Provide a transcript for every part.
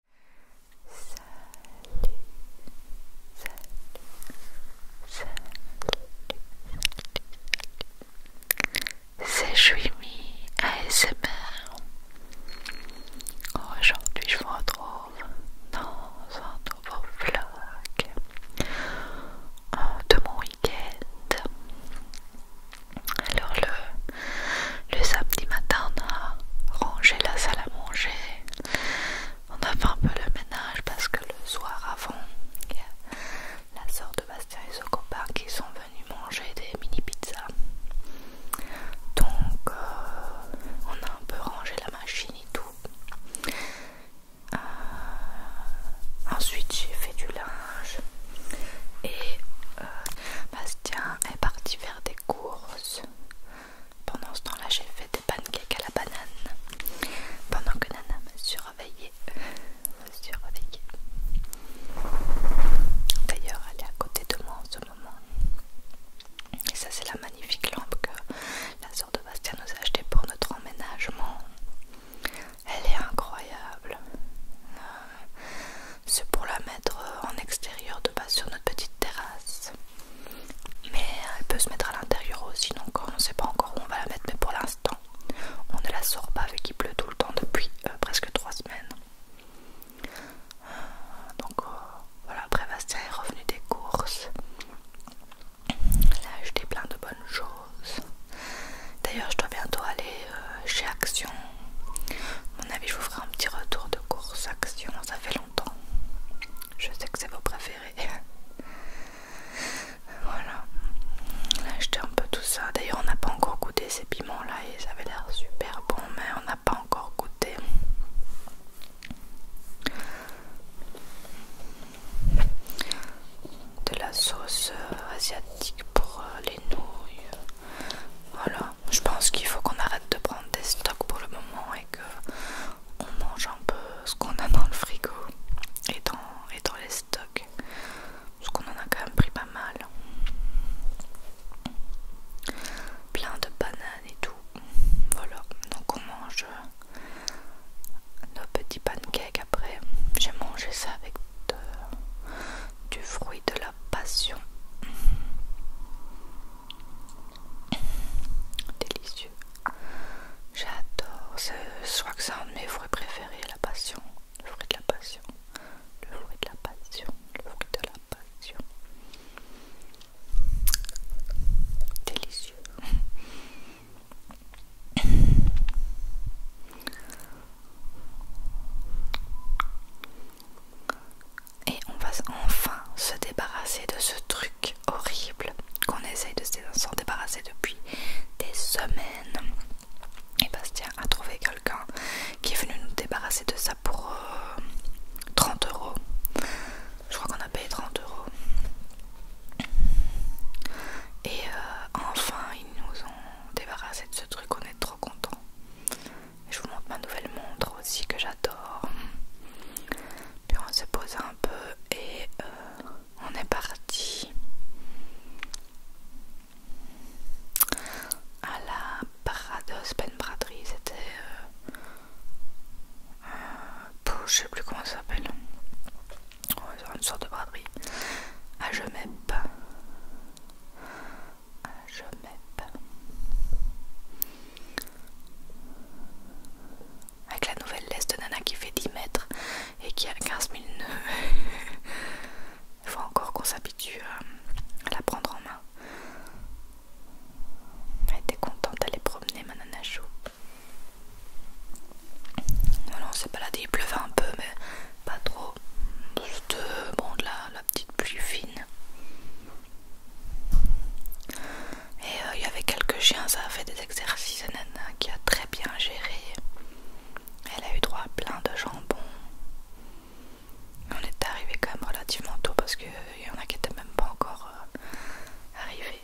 salut, salut, c'est Juimi ASMR. Aujourd'hui, je vous retrouve dans un nouveau vlog euh, de mon week-end. Alors, le le samedi matin, on a rangé la salle à manger. On a fait un peu le ménage parce que le soir avant, la soeur de Bastien et son copain qui sont venus manger des mini pizzas. Donc, euh, on a un peu rangé la machine et tout. Euh, ensuite, j'ai fait du linge et euh, Bastien est parti faire des courses pendant ce temps-là, j'ai fait des pancakes à la banane pendant que Nana me surveillait. D'ailleurs, elle est à côté de moi en ce moment. Et ça, c'est la magnifique lampe que la sœur de Bastien nous a achetée pour notre emménagement. Elle est incroyable. Euh, c'est pour la mettre euh, en extérieur de base sur notre petite terrasse mais elle peut se mettre à l'intérieur aussi donc on ne sait pas encore où on va la mettre mais pour l'instant on ne la sort pas vu qu'il pleut tout le temps depuis euh, presque trois semaines donc euh, voilà après Bastien est revenu des courses Là a acheté plein de bonnes choses d'ailleurs je dois bientôt aller chez Action mon avis je vous ferai un petit retour de course action ça fait longtemps je sais que c'est vos préférés voilà a acheté un peu tout ça d'ailleurs on n'a pas encore goûté ces piments là et ça avait l'air super bon mais on n'a pas encore goûté de la sauce euh, asiatique pour euh, les nouilles voilà, je pense qu'il faut qu'on arrête de prendre des stocks pour le moment et que on mange un peu ce qu'on a dans le frigo et dans, et dans les stocks. Parce qu'on en a quand même pris pas mal. Plein de bananes et tout. Voilà, donc on mange euh, nos petits pancakes après. J'ai mangé ça avec de, du fruit de la passion. Délicieux. J'adore. ce crois que c'est un de mes fruits préférés, la passion. Le fruit de la passion. Le fruit de la passion. Le fruit de la passion. Délicieux. Et on va enfin se débarrasser de ce truc horrible qu'on essaye de s'en débarrasser depuis des semaines. Et Bastien a trouvé quelqu'un qui est venu nous débarrasser de ça pour 30 euh, euros. Je crois qu'on a payé 30 euros. Et euh, enfin, ils nous ont débarrassé de ce truc, on est trop contents. Je vous montre ma nouvelle montre aussi que j'adore. Puis on s'est posé un peu et euh, on est parti à la Parados Ben Braderie. C'était. Euh, euh, je sais plus comment ça s'appelle. une sorte de braderie. À ah, Jemep je Avec la nouvelle laisse de Nana qui fait 10 mètres et qui a 15 000 nœuds. Il faut encore qu'on s'habitue à la prendre en main. Elle était contente d'aller promener ma nana chou. Voilà, on s'est baladé, il pleuvait un peu, mais pas trop. Euh, petite pluie fine. Et euh, il y avait quelques chiens, ça a fait des exercices, Nana qui a très bien géré. Elle a eu droit à plein de jambon. On est arrivé quand même relativement tôt parce que euh, il y en a qui n'étaient même pas encore euh, arrivés.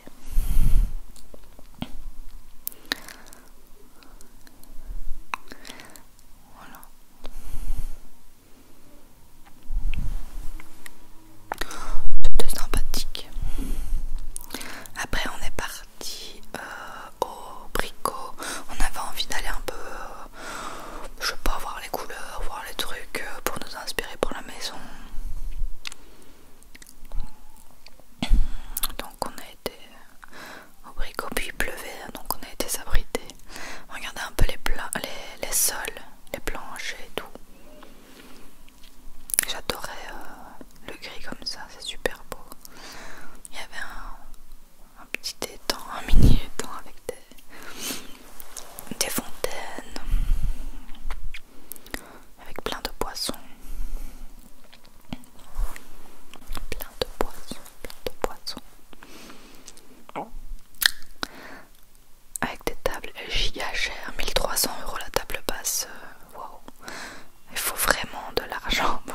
Voilà. C'était sympathique. Après, on est parti euh, au bricot. On avait envie d'aller un peu, euh, je sais pas, voir les couleurs, voir les trucs euh, pour nous inspirer pour la maison. Donc, on a été au bricot, puis il pleuvait, donc on a été s'abriter. regardez un peu les, les, les sols, les planches et tout. J'adorais euh, le gris comme ça, c'est super beau. Il y avait un, petit étang, un mini étang avec des, des fontaines, avec plein de poissons. Plein de poissons de Avec des tables mille trois 1300 euros la table basse. Euh, waouh! Il faut vraiment de l'argent euh,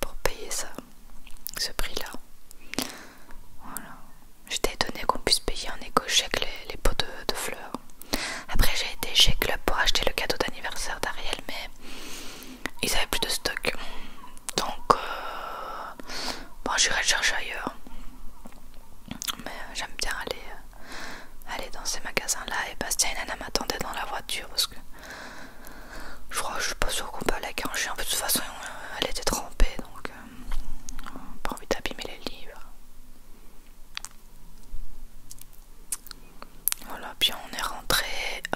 pour, payer ça, ce prix-là. Voilà. J'étais étonnée qu'on puisse payer en éco-chèque les, pots de, de fleurs. Après, j'ai été chez Club pour acheter le cadeau d'anniversaire d'Ariel, mais ils avaient plus de stock donc euh, bon j'irai le chercher ailleurs mais j'aime bien aller, euh, aller dans ces magasins là et Bastien et Nana dans la voiture parce que je crois je suis pas sûre qu'on peut aller avec en de toute façon euh, elle était trempée donc pas envie d'abîmer les livres voilà, puis on est rentré,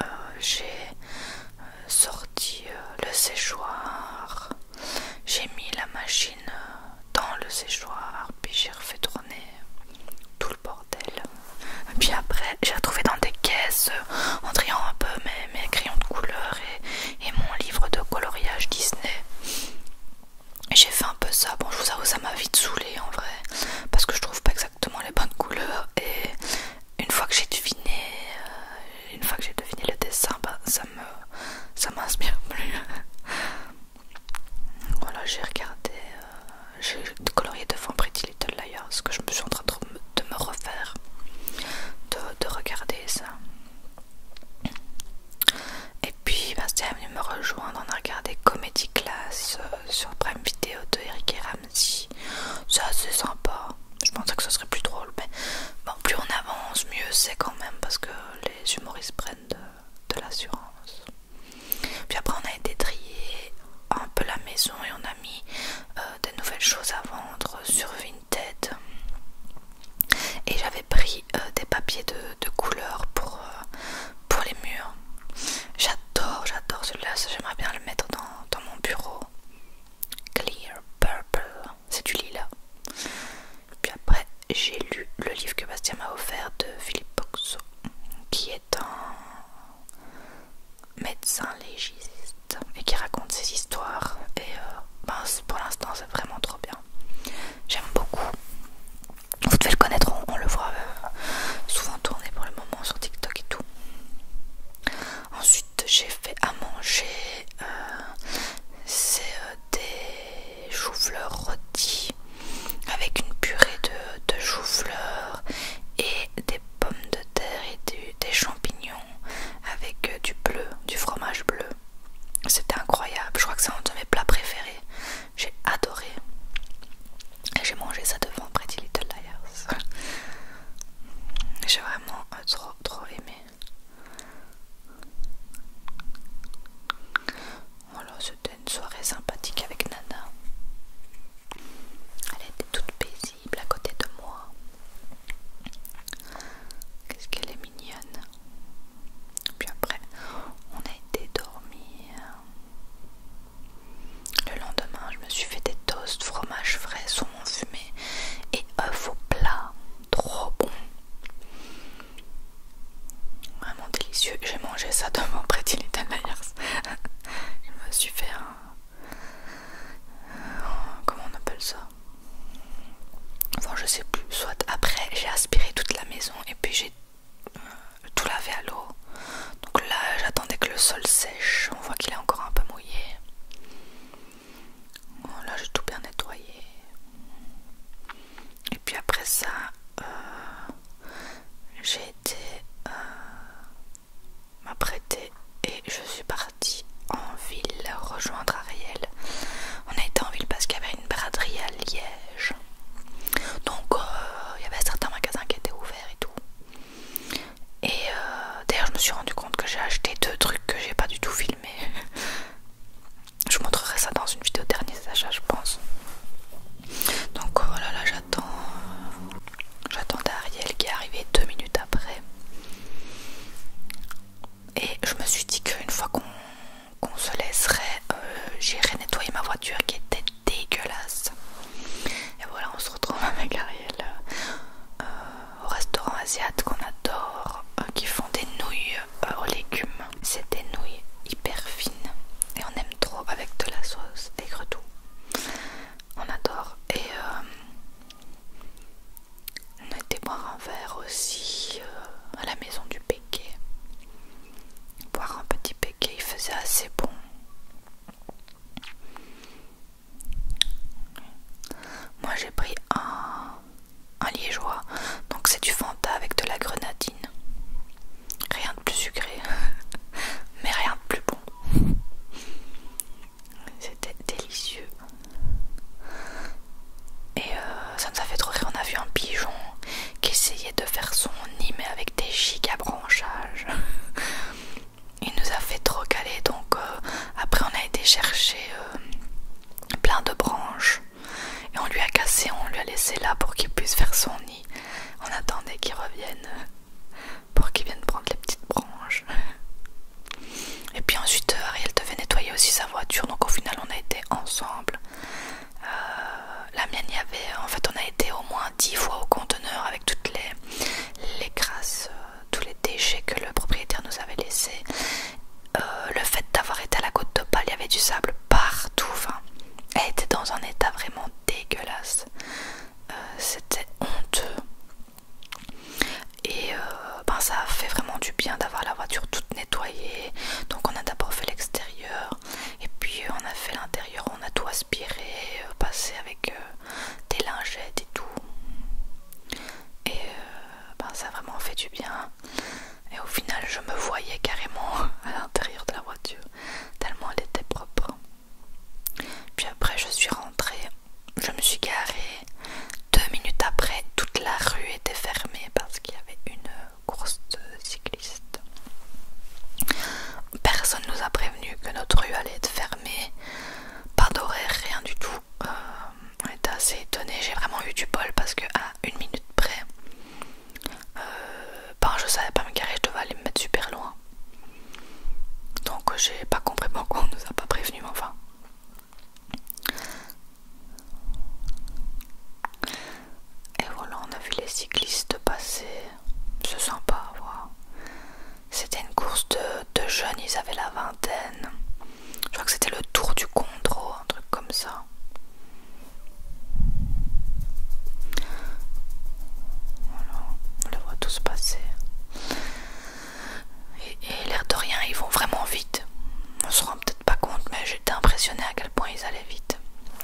euh, j'ai euh, sorti euh, le séchoir, j'ai mis la machine dans le séchoir, puis j'ai refait tourner tout le bordel. Et puis après, j'ai retrouvé dans des caisses, en triant un peu mes, crayons de couleur et, et mon livre de coloriage Disney. J'ai fait un peu ça, bon je vous avoue ça m'a vite saoulé en vrai, parce que je trouve pas exactement bonnes couleurs et une fois que j'ai deviné euh, une fois que j'ai deviné le dessin bah, ça me ça m'inspire plus voilà j'ai regardé j'ai euh, j'ai colorié devant Pretty Little Liars ce que je me suis en train de, me refaire de, regarder ça et puis c'était est venu me rejoindre on a regardé Comédie Class euh, sur Prime vidéo de Eric et si c'est sympa. Je pensais que ce serait plus drôle, mais bon, plus on avance, mieux c'est quand même parce que les humoristes prennent de, l'assurance. Puis après, on a été trié un peu la maison et on a mis euh, des nouvelles choses à vendre sur Vinted. Et j'avais pris euh, des papiers de, couleur pour euh, pour les murs. J'adore, j'adore celui-là. J'aimerais bien le mettre dans, mon bureau. Clear Purple, c'est du lilas. Puis après, j'ai lu le livre que Bastien m'a offert de Philippe Boxo, qui est un médecin légiste et qui raconte ses histoires. Et euh, ben, pour l'instant, c'est vraiment trop bien. J'aime beaucoup. Vous devez le connaître, on, le voit euh, souvent tourner pour le sur TikTok et tout. Ensuite, j'ai fait à manger. Euh, c'est euh, des choux-fleurs rôties avec une purée de, choux-fleurs et des pommes de terre et des champignons avec euh, du bleu, du fromage bleu. C'était incroyable. Je crois que c'est un de mes plats préférés. J'ai adoré. Et j'ai mangé ça devant Pretty Little Liars. j'ai vraiment euh, trop trop aimé. Voilà, c'était une soirée sympathique avec Nana. Elle était toute paisible à côté de moi. Qu'est-ce qu'elle est mignonne. Puis après, on a été dormir. Le lendemain, je me suis fait des toasts, fromage frais, saumon fumé et œufs au plat. Trop bon! Vraiment délicieux. J'ai mangé ça demain mon Little Myers. je me suis fait un. Comment on appelle ça? Enfin, je sais plus. Soit après, j'ai aspiré toute la maison et puis j'ai euh, tout lavé à l'eau. Donc là, j'attendais que le sol sèche. On voit qu'il est encore un peu mouillé. là, j'ai tout bien nettoyé. Et puis après ça, euh, j'ai été euh, m'apprêter et je suis partie en ville rejoindre Ariel. On a été en ville parce qu'il y avait une braderie à donc euh, il y avait certains magasins qui étaient ouverts et tout. Et euh, d'ailleurs je me suis rendu compte que j'ai acheté deux trucs que j'ai pas du tout filmé. je montrerai ça dans une vidéo dernier achat je pense. Donc voilà oh là j'attends. j'attends Ariel qui est arrivé deux minutes après. Et je me suis dit qu'une fois qu'on se laisserait, euh, j'irai nettoyer ma voiture qui était dégueulasse. Et voilà, on se retrouve avec Ariel euh, au restaurant asiatique qu'on adore, euh, qui font des nouilles euh, aux légumes. C'est des nouilles hyper fines et on aime trop avec de la sauce et tout. On adore. Et on on était boire un verre aussi à la maison du pays. Boire un petit béquet, il faisait assez bon. Moi j'ai pris un, un liégeois, donc c'est du Fanta avec de la grenadine. Rien de plus sucré, mais rien de plus bon. C'était délicieux. Et euh, ça nous a fait trop rire. On a vu un pigeon qui essayait de faire son nid mais avec des giga branchages. Il nous a fait trop caler donc euh, après on a été chercher euh, plein de branches et on lui a cassé, on lui a laissé là pour qu'il puisse faire son nid. On attendait qu'il revienne euh, pour qu'il vienne prendre les petites branches. Et puis ensuite Ariel devait nettoyer aussi sa voiture donc au final on a été ensemble euh, la mienne, y avait, en fait, on a été au moins 10 fois au conteneur avec toutes les, les crasses, euh, tous les déchets que le propriétaire nous avait laissés. Euh, le fait d'avoir été à la côte d'Opale, il y avait du sable partout. elle était dans un état vraiment dégueulasse. C'était honteux. Et ben, ça fait vraiment du bien d'avoir la voiture toute nettoyée. Donc on a d'abord fait l'extérieur et puis euh, on a fait l'intérieur, on a tout aspiré, euh, passé avec euh, des lingettes et tout. Et ben, ça a vraiment fait du bien. Et au final je me voyais carrément à l'intérieur de la voiture, tellement elle était propre. Puis après je suis rentrée, je me suis garée. Deux minutes après, toute la rue était fermée parce qu'il y avait une course de cycliste Personne nous a prévenu que notre rue allait être fermée, pas d'horaire, rien du tout. Euh, on était assez étonnés, j'ai vraiment eu du bol parce que à une minute près, euh, ben, je savais pas me garer, je devais aller me mettre super loin. Donc j'ai pas compris pourquoi on nous a pas prévenu, mais enfin. Et voilà, on a vu les cyclistes passer. C'est sympa voir. C'était une course de, jeunes, ils avaient la vingtaine. Je crois que c'était le tour du contrôle, un truc comme ça. Voilà, on les voit tous passer. Et, l'air de rien, ils vont vraiment vite. On se rend pas compte, mais j'étais impressionnée à quel point ils allaient vite.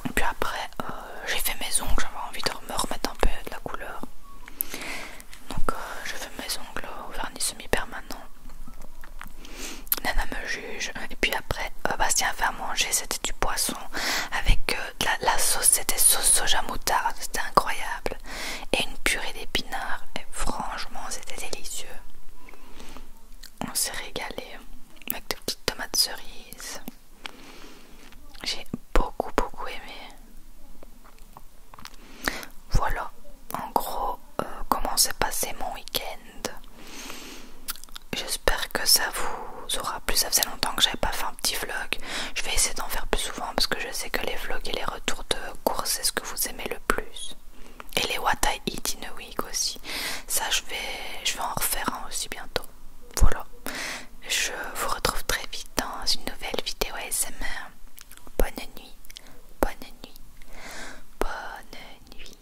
Et puis après, euh, j'ai fait mes ongles, j'avais envie de me remettre un peu de la couleur. Donc euh, je fais mes ongles au vernis semi-permanent. Nana me juge. Et puis après, euh, Bastien a fait à manger, c'était du poisson avec de la, la sauce, c'était sauce soja moutarde, c'était incroyable. Et une purée d'épinards, et franchement, c'était délicieux on s'est régalé hein, avec des petites tomates cerises. J'ai beaucoup beaucoup aimé. Voilà, en gros, euh, comment s'est passé mon week-end. J'espère que ça vous aura plu. Ça faisait longtemps que j'avais pas fait un petit vlog. Je vais essayer d'en faire plus souvent parce que je sais que les vlogs et les retours de courses c'est ce que vous aimez le plus. Et les What I Eat in a Week aussi. Ça, je vais, je vais en refaire un aussi bientôt. Voilà. Je vous retrouve très vite dans une nouvelle vidéo ASMR. Bonne nuit. Bonne nuit. Bonne nuit.